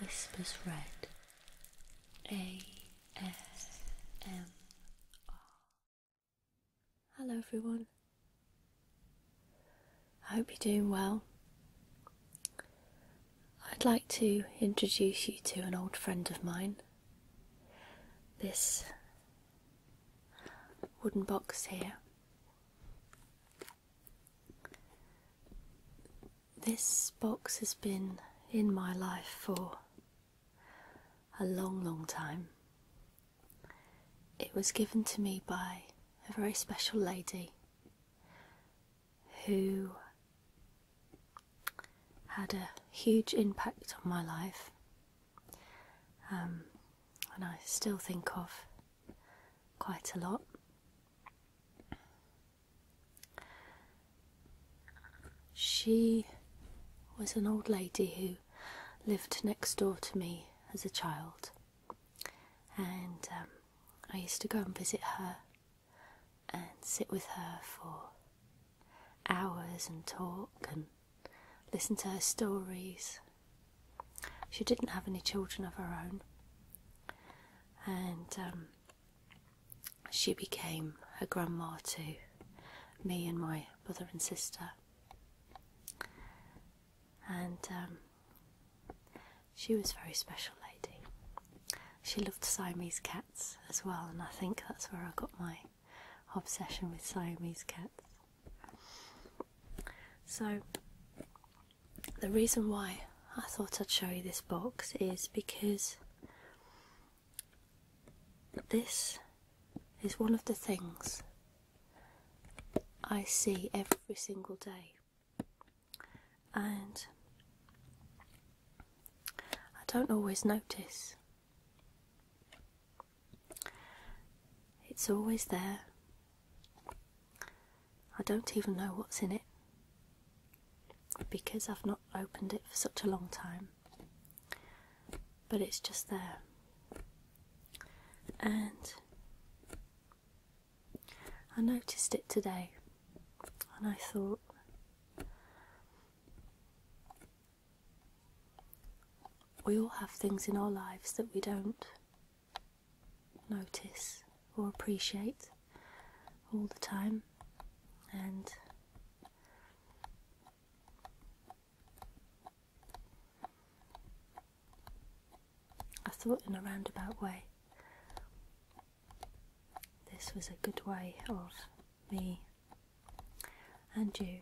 Whispers Red ASMR. Hello, everyone. I hope you're doing well. I'd like to introduce you to an old friend of mine. This wooden box here this box has been in my life for a long, long time. It was given to me by a very special lady who had a huge impact on my life, um, and I still think of quite a lot. She was an old lady who lived next door to me as a child, and um, I used to go and visit her and sit with her for hours and talk and listen to her stories. She didn't have any children of her own, and um, she became her grandma to me and my brother and sister. And um, she was a very special lady. She loved Siamese cats as well, and I think that's where I got my obsession with Siamese cats. So the reason why I thought I'd show you this box is because this is one of the things I see every single day, and I don't always notice. It's always there, I don't even know what's in it because I've not opened it for such a long time, but it's just there. And I noticed it today and I thought, we all have things in our lives that we don't notice or appreciate all the time, and I thought in a roundabout way this was a good way of me and you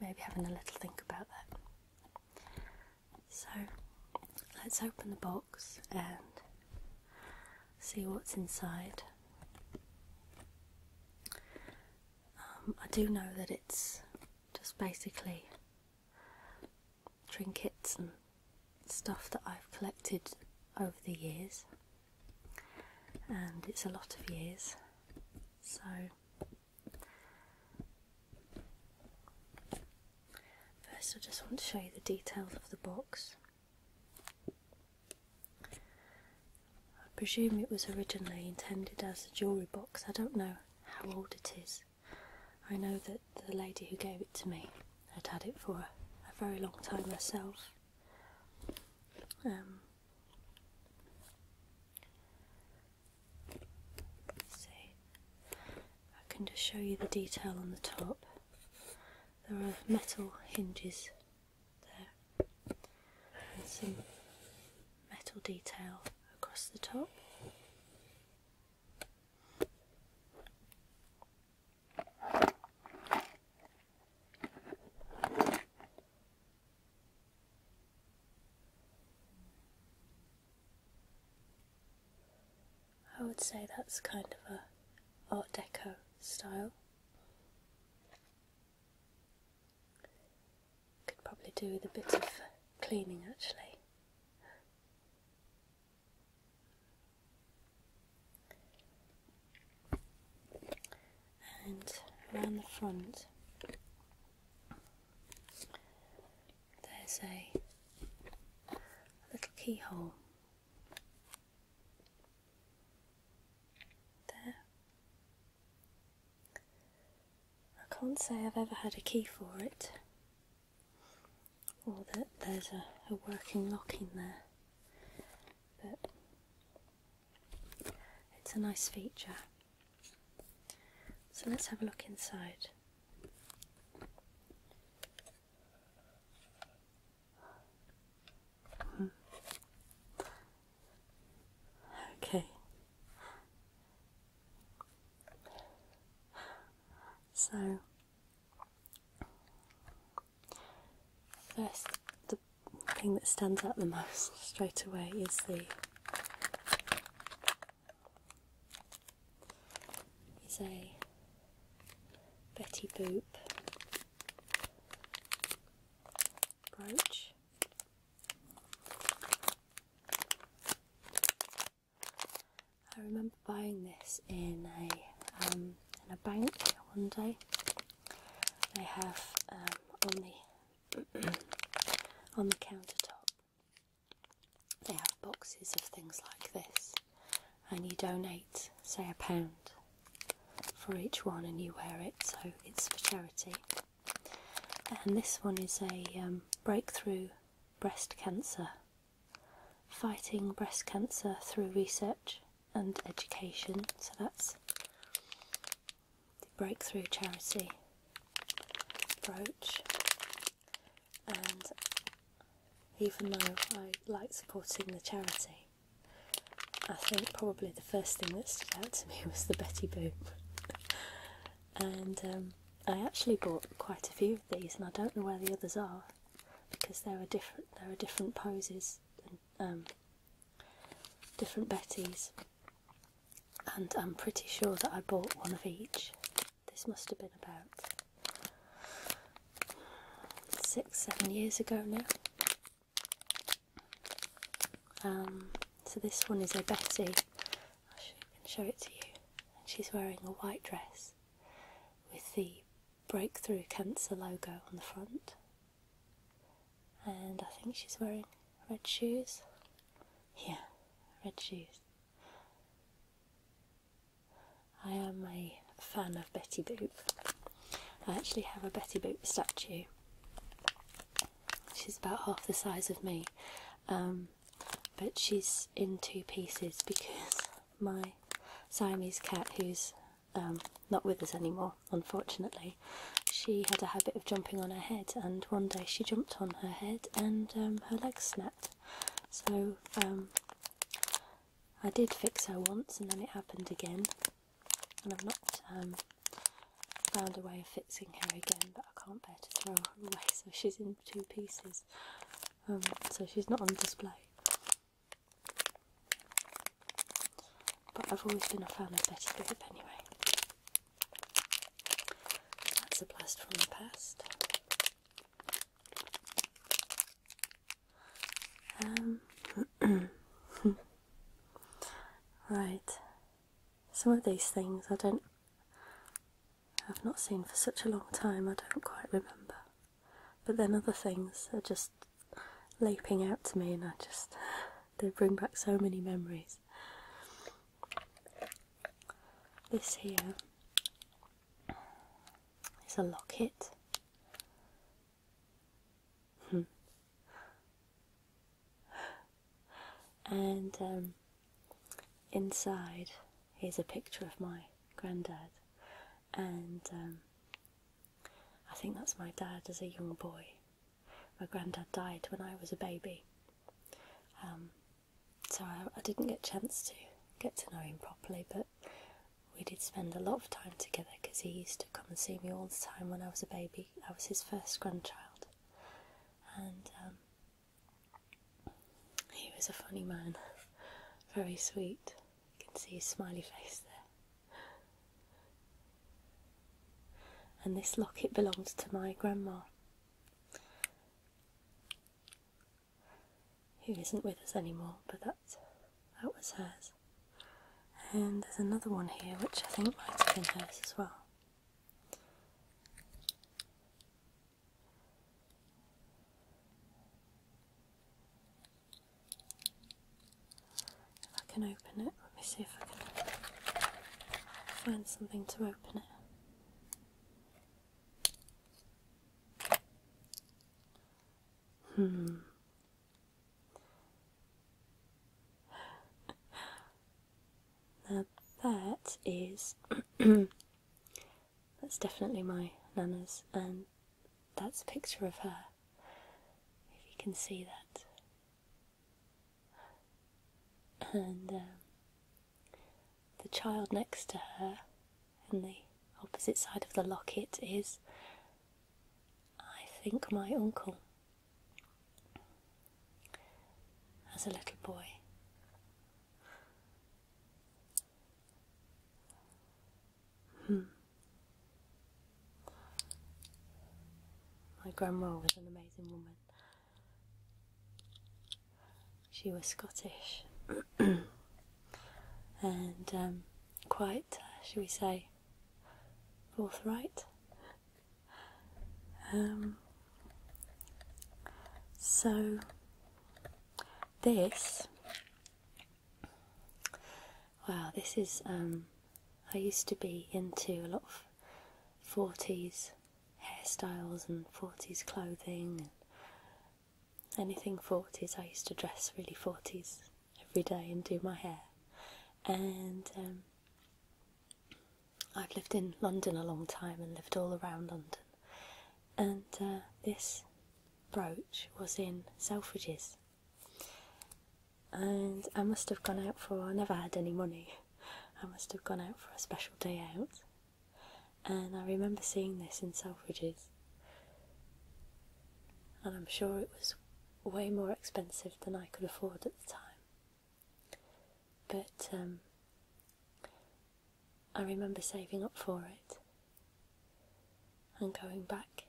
maybe having a little think about that. So let's open the box and see what's inside. Um, I do know that it's just basically trinkets and stuff that I've collected over the years, and it's a lot of years, so First, I just want to show you the details of the box. I presume it was originally intended as a jewellery box. I don't know how old it is. I know that the lady who gave it to me had had it for a very long time herself. Um, let I can just show you the detail on the top. There are metal hinges there, and some metal detail across the top. I would say that's kind of a Art Deco style. Could probably do with a bit of cleaning actually. And around the front, there's a, little keyhole there. I can't say I've ever had a key for it, or that there's a working lock in there, but it's a nice feature. So let's have a look inside. Okay. So first the thing that stands out the most straight away is the is a Betty Boop brooch. I remember buying this in a um, in a bank one day. They have um, on the on the countertop they have boxes of things like this, and you donate, say, a pound for each one, and you wear it, so it's for charity. And this one is a um, breakthrough breast cancer, fighting breast cancer through research and education. So that's the breakthrough charity brooch and even though I like supporting the charity, I think probably the first thing that stood out to me was the Betty Boop. and um, I actually bought quite a few of these, and I don't know where the others are because there are different there are different poses and um, different Betties, and I'm pretty sure that I bought one of each. This must have been about six, seven years ago now. Um, so this one is a Betty. I can show it to you. And she's wearing a white dress with the Breakthrough Cancer logo on the front. And I think she's wearing red shoes. Yeah, red shoes. I am a fan of Betty Boop. I actually have a Betty Boop statue. She's about half the size of me, um, but she's in two pieces because my Siamese cat, who's um, not with us anymore, unfortunately, she had a habit of jumping on her head, and one day she jumped on her head and um, her legs snapped. So um, I did fix her once, and then it happened again, and I've not um, found a way of fixing her again. But I can't bear to throw her away, so she's in two pieces. so she's not on display. But I've always been a fan of Betty Boop anyway. That's a blast from the past. Um, right. Some of these things I don't. I've not seen for such a long time, I don't quite remember. But then other things are just leaping out to me, and I just. they bring back so many memories. This here is a locket. Hmm. and um, inside is a picture of my granddad, and um, I think that's my dad as a young boy. My granddad died when I was a baby. Um, so I, didn't get a chance to get to know him properly, but we did spend a lot of time together because he used to come and see me all the time when I was a baby. I was his first grandchild, and um, he was a funny man, very sweet. You can see his smiley face there. And this locket belongs to my grandma who isn't with us anymore, but that's, that was hers. And there's another one here which I think might have been hers as well. If I can open it, let me see if I can find something to open it. Hmm. Now that is that's definitely my nana's and that's a picture of her. If you can see that. And um, the child next to her in the opposite side of the locket is, I think, my uncle. As a little boy. Hmm. My grandma was an amazing woman. She was Scottish and um, quite, uh, shall we say, forthright. Um, so, this, wow, this is, um, I used to be into a lot of 40s hairstyles and 40s clothing and anything 40s. I used to dress really 40s every day and do my hair. And um, I've lived in London a long time and lived all around London. And uh, this brooch was in Selfridges. And I must have gone out for, I never had any money, I must have gone out for a special day out and I remember seeing this in Selfridges, and I'm sure it was way more expensive than I could afford at the time. But um, I remember saving up for it and going back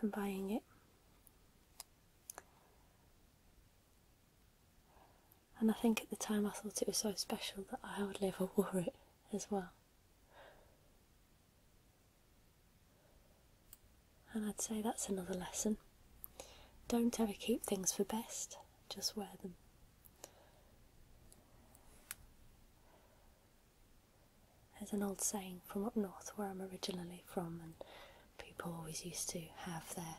and buying it. And I think at the time I thought it was so special that I hardly ever wear it as well. And I'd say that's another lesson. Don't ever keep things for best, just wear them. There's an old saying from up north where I'm originally from, and people always used to have their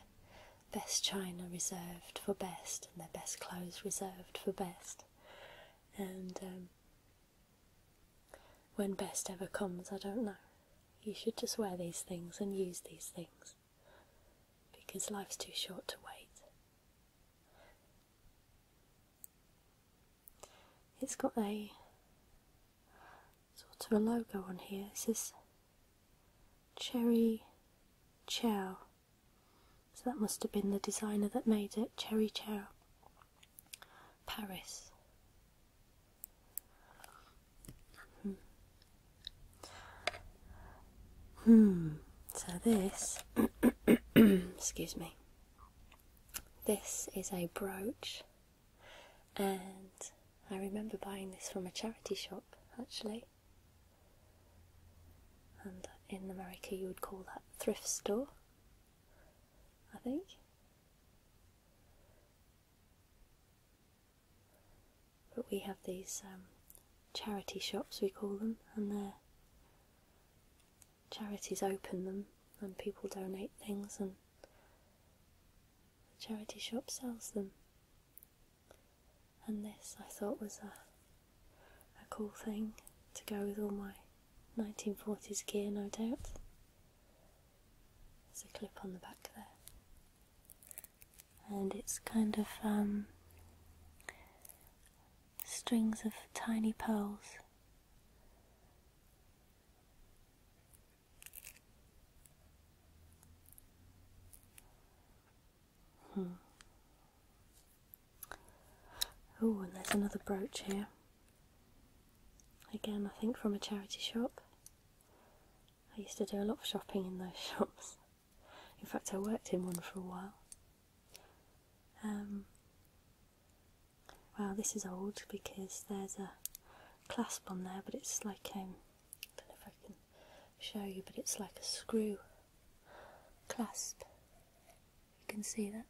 best china reserved for best and their best clothes reserved for best. And um, when best ever comes, I don't know. You should just wear these things and use these things because life's too short to wait. It's got a sort of a logo on here. It says Cherry Chow. So that must have been the designer that made it, Cherry Chow. Paris. Hmm. hmm. So this, excuse me, this is a brooch and I remember buying this from a charity shop actually. And in America, you would call that thrift store, I think. But we have these um, charity shops, we call them, and their charities open them, and people donate things, and the charity shop sells them. And this I thought was a, a cool thing to go with all my 1940s gear, no doubt. There's a clip on the back there. And it's kind of um, strings of tiny pearls. Hmm. Oh, and there's another brooch here. Again, I think from a charity shop. I used to do a lot of shopping in those shops. In fact, I worked in one for a while. Um, well, this is old because there's a clasp on there, but it's like um, I don't know if I can show you, but it's like a screw clasp. You can see that.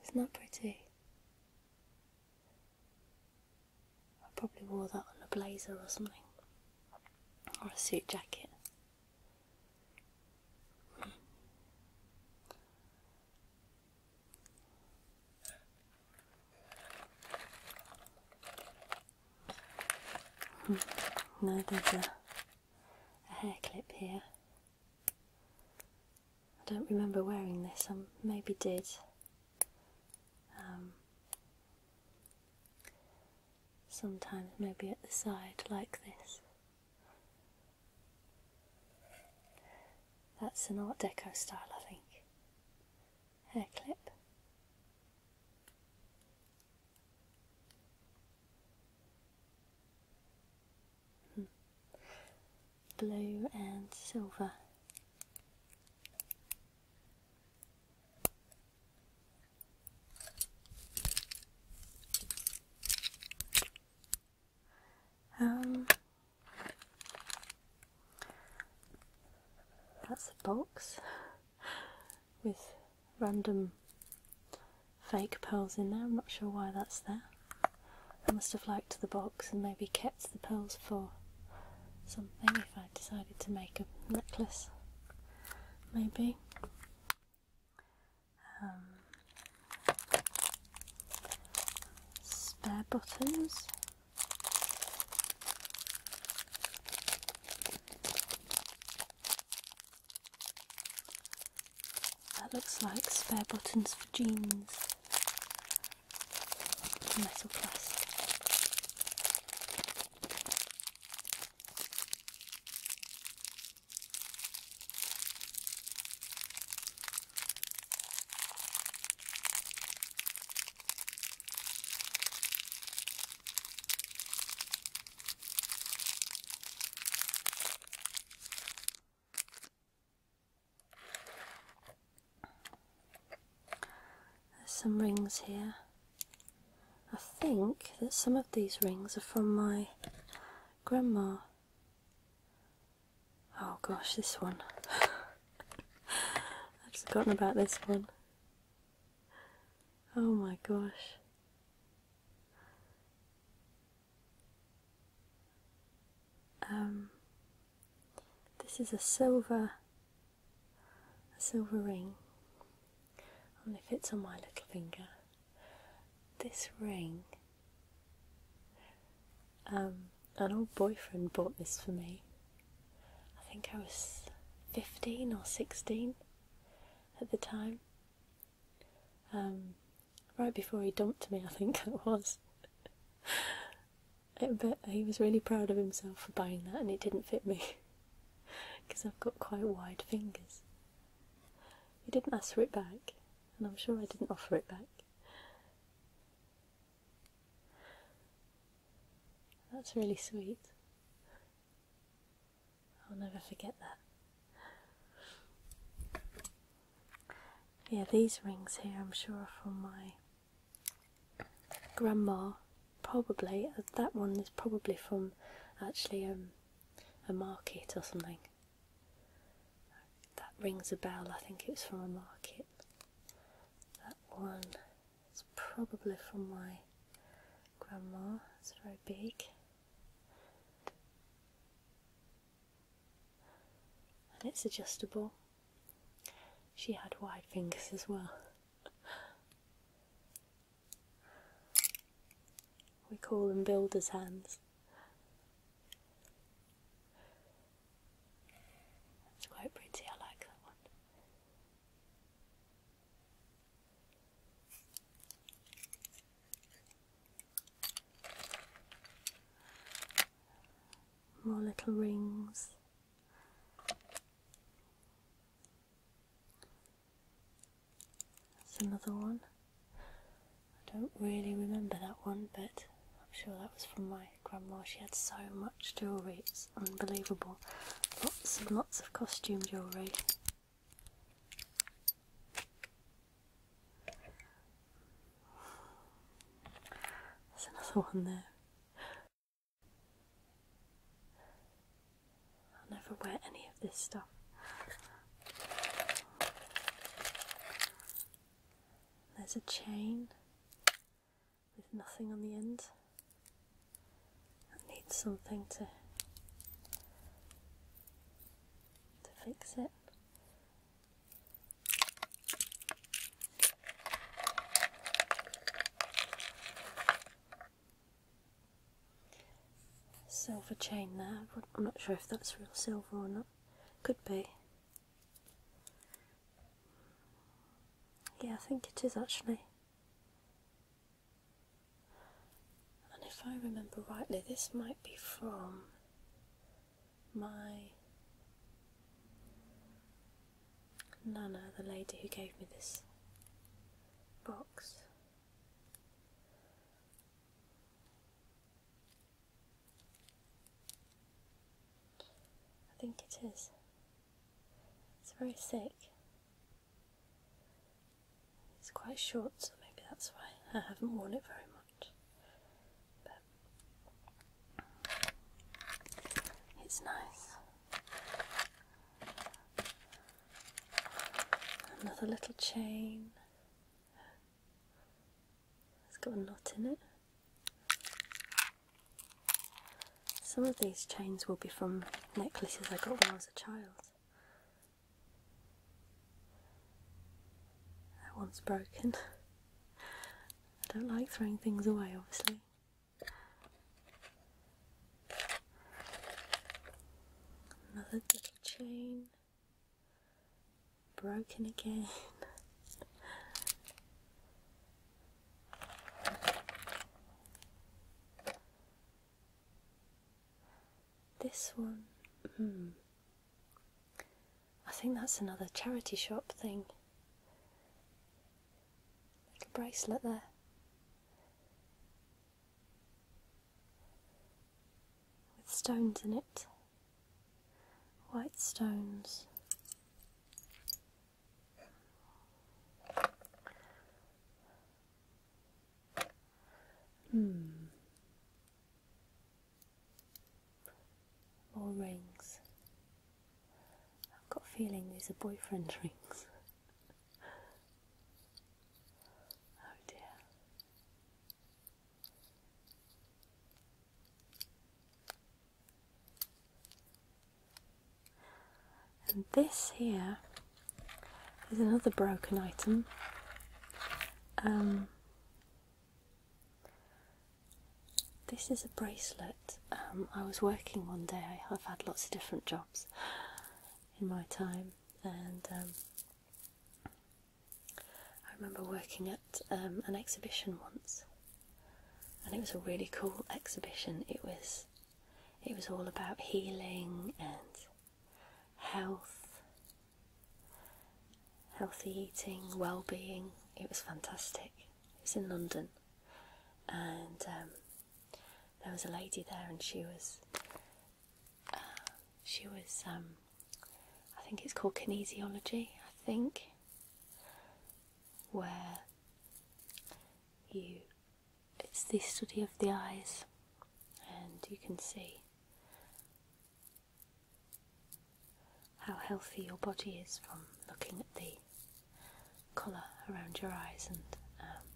It's Isn't pretty? I probably wore that on a blazer or something, or a suit jacket. Hmm. No, there's a, hair clip here. I don't remember wearing this, I maybe did. Um, sometimes, maybe at the side, like this. That's an Art Deco style, I think. Hair clip. Hmm. Blue and silver. Um, that's a box with random fake pearls in there. I'm not sure why that's there. I must have liked the box and maybe kept the pearls for something if I decided to make a necklace, maybe. Um, spare buttons. That looks like spare buttons for jeans. Metal plastic. There's some rings here. I think that some of these rings are from my Grandma. Oh gosh, this one. I've forgotten about this one. Oh my gosh. Um, this is a silver, a silver ring. I wonder if on my little finger this ring. Um, an old boyfriend bought this for me. I think I was 15 or 16 at the time. Um, right before he dumped me, I think it was. but he was really proud of himself for buying that, and it didn't fit me because I've got quite wide fingers. He didn't ask for it back, and I'm sure I didn't offer it back. That's really sweet. I'll never forget that. Yeah, these rings here I'm sure are from my grandma, probably. Uh, that one is probably from actually um, a market or something. That rings a bell, I think it's from a market. That one It's probably from my grandma, it's very big. And it's adjustable. She had wide fingers as well. We call them builder's hands. That's quite pretty, I like that one. More little rings. That's another one. I don't really remember that one, but I'm sure that was from my grandma. She had so much jewellery, it's unbelievable. Lots and lots of costume jewellery. There's another one there. I'll never wear any of this stuff. There's a chain with nothing on the end. That needs something to to fix it. Silver chain there. I'm not sure if that's real silver or not. Could be. Yeah, I think it is actually. And if I remember rightly, this might be from my Nana, the lady who gave me this box. I think it is. It's very thick. It's quite short, so maybe that's why I haven't worn it very much. But it's nice. Another little chain. It's got a knot in it. Some of these chains will be from necklaces I got when I was a child. That one's broken. I don't like throwing things away, obviously. Another little chain. Broken again. this one, hmm. I think that's another charity shop thing. Little bracelet there with stones in it, white stones. Hmm. More rings. I've got a feeling these are boyfriend rings. Oh dear. And this here is another broken item. Um, this is a bracelet. Um, I was working one day, I've had lots of different jobs in my time, and um, I remember working at um, an exhibition once, and it was a really cool exhibition. It was, it was all about healing and health, healthy eating, well-being. It was fantastic. It was in London, and um, there was a lady there, and she was uh, she was, um, I think it's called kinesiology, I think, where you, it's the study of the eyes, and you can see how healthy your body is from looking at the colour around your eyes and um,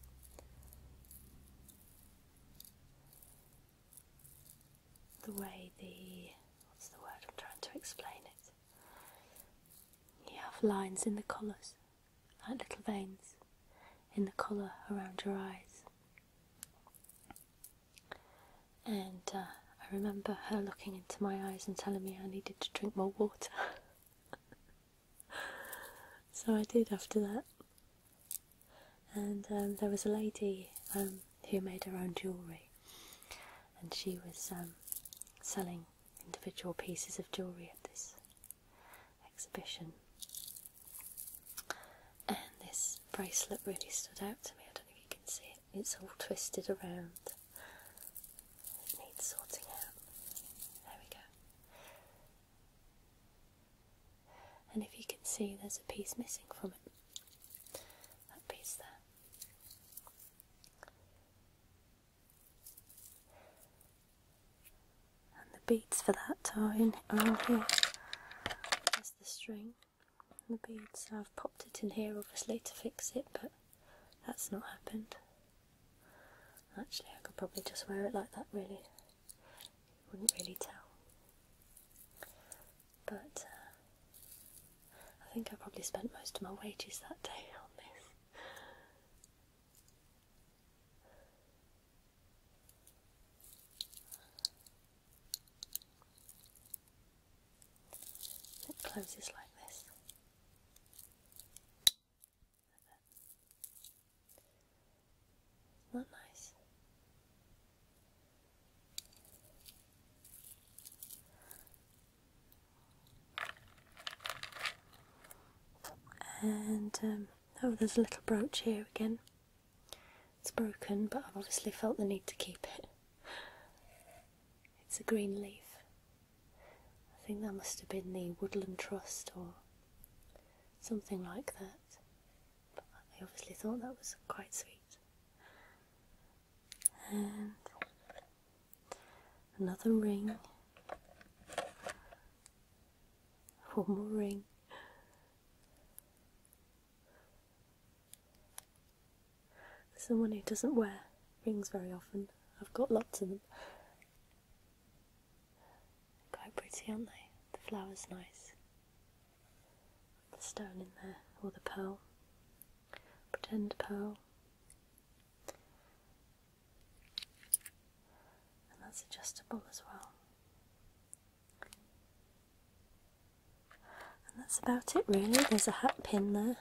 the way the what's the word I'm trying to explain it. You have lines in the colours, like little veins in the colour around your eyes. And uh, I remember her looking into my eyes and telling me I needed to drink more water. so I did after that. And um, there was a lady um, who made her own jewellery, and she was um, selling individual pieces of jewellery at this exhibition. And this bracelet really stood out to me. I don't know if you can see it, it's all twisted around. It needs sorting out. There we go. And if you can see, there's a piece missing from it. That piece there. And the beads for that are in are all here. There's the string the beads. I've popped it in here obviously to fix it, but that's not happened. Actually, I could probably just wear it like that really wouldn't really tell. But uh, I think I probably spent most of my wages that day on this. It closes like this not nice? And um, oh, there's a little brooch here again. It's broken, but I've obviously felt the need to keep it. It's a green leaf. I think that must have been the Woodland Trust or something like that. But I obviously thought that was quite sweet. And another ring. One more ring. Someone who doesn't wear rings very often. I've got lots of them. Quite pretty, aren't they? The flower's nice. The stone in there, or the pearl. Pretend pearl. And that's adjustable as well. And that's about it really. There's a hat pin there.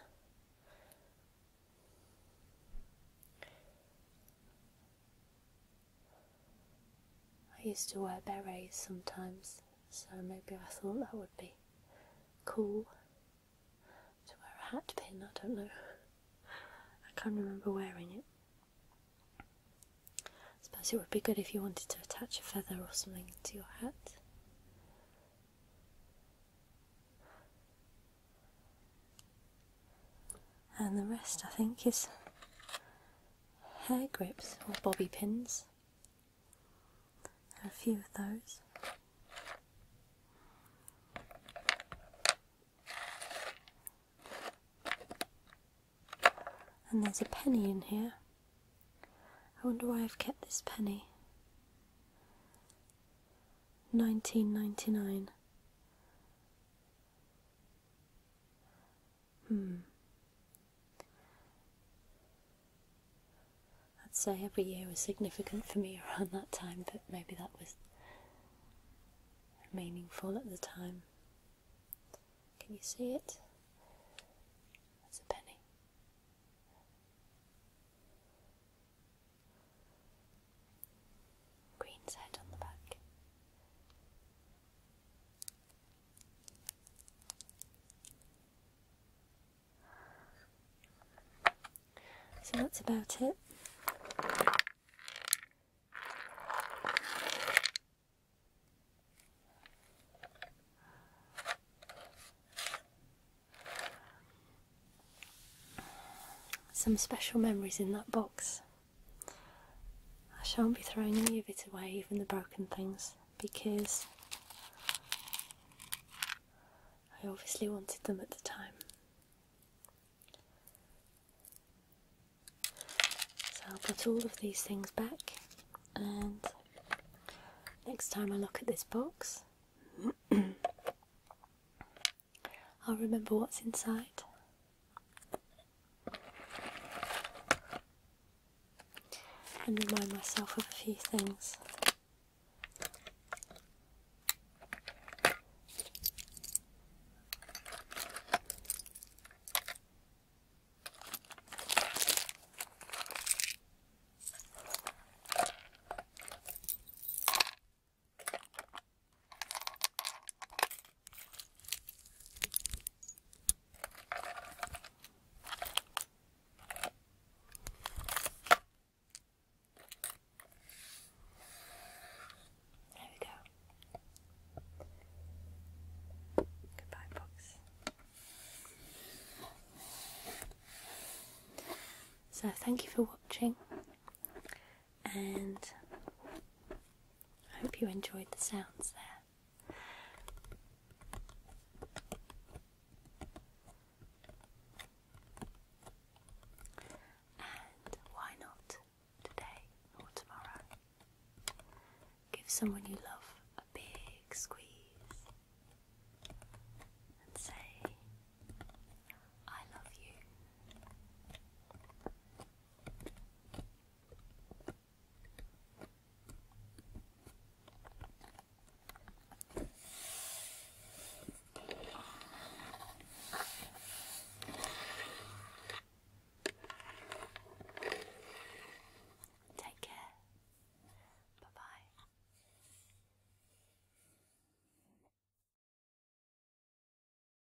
I used to wear berets sometimes, so maybe I thought that would be cool to wear a hat pin. I don't know. I can't remember wearing it. I suppose it would be good if you wanted to attach a feather or something to your hat and the rest I think is hair grips or bobby pins. There are a few of those. And there's a penny in here. I wonder why I've kept this penny. 1999. Hmm. I'd say every year was significant for me around that time, but maybe that was meaningful at the time. Can you see it? That's a penny. Green's head on the back. So that's about it. Some special memories in that box. I shan't be throwing any of it away, even the broken things, because I obviously wanted them at the time. So I'll put all of these things back, and next time I look at this box, I'll remember what's inside and remind myself of a few things. There we go. Goodbye, books. So, thank you for watching, and I hope you enjoyed the sounds there. And why not today or tomorrow? Give someone you love a big squeeze and say, I love you. Take care. Bye bye.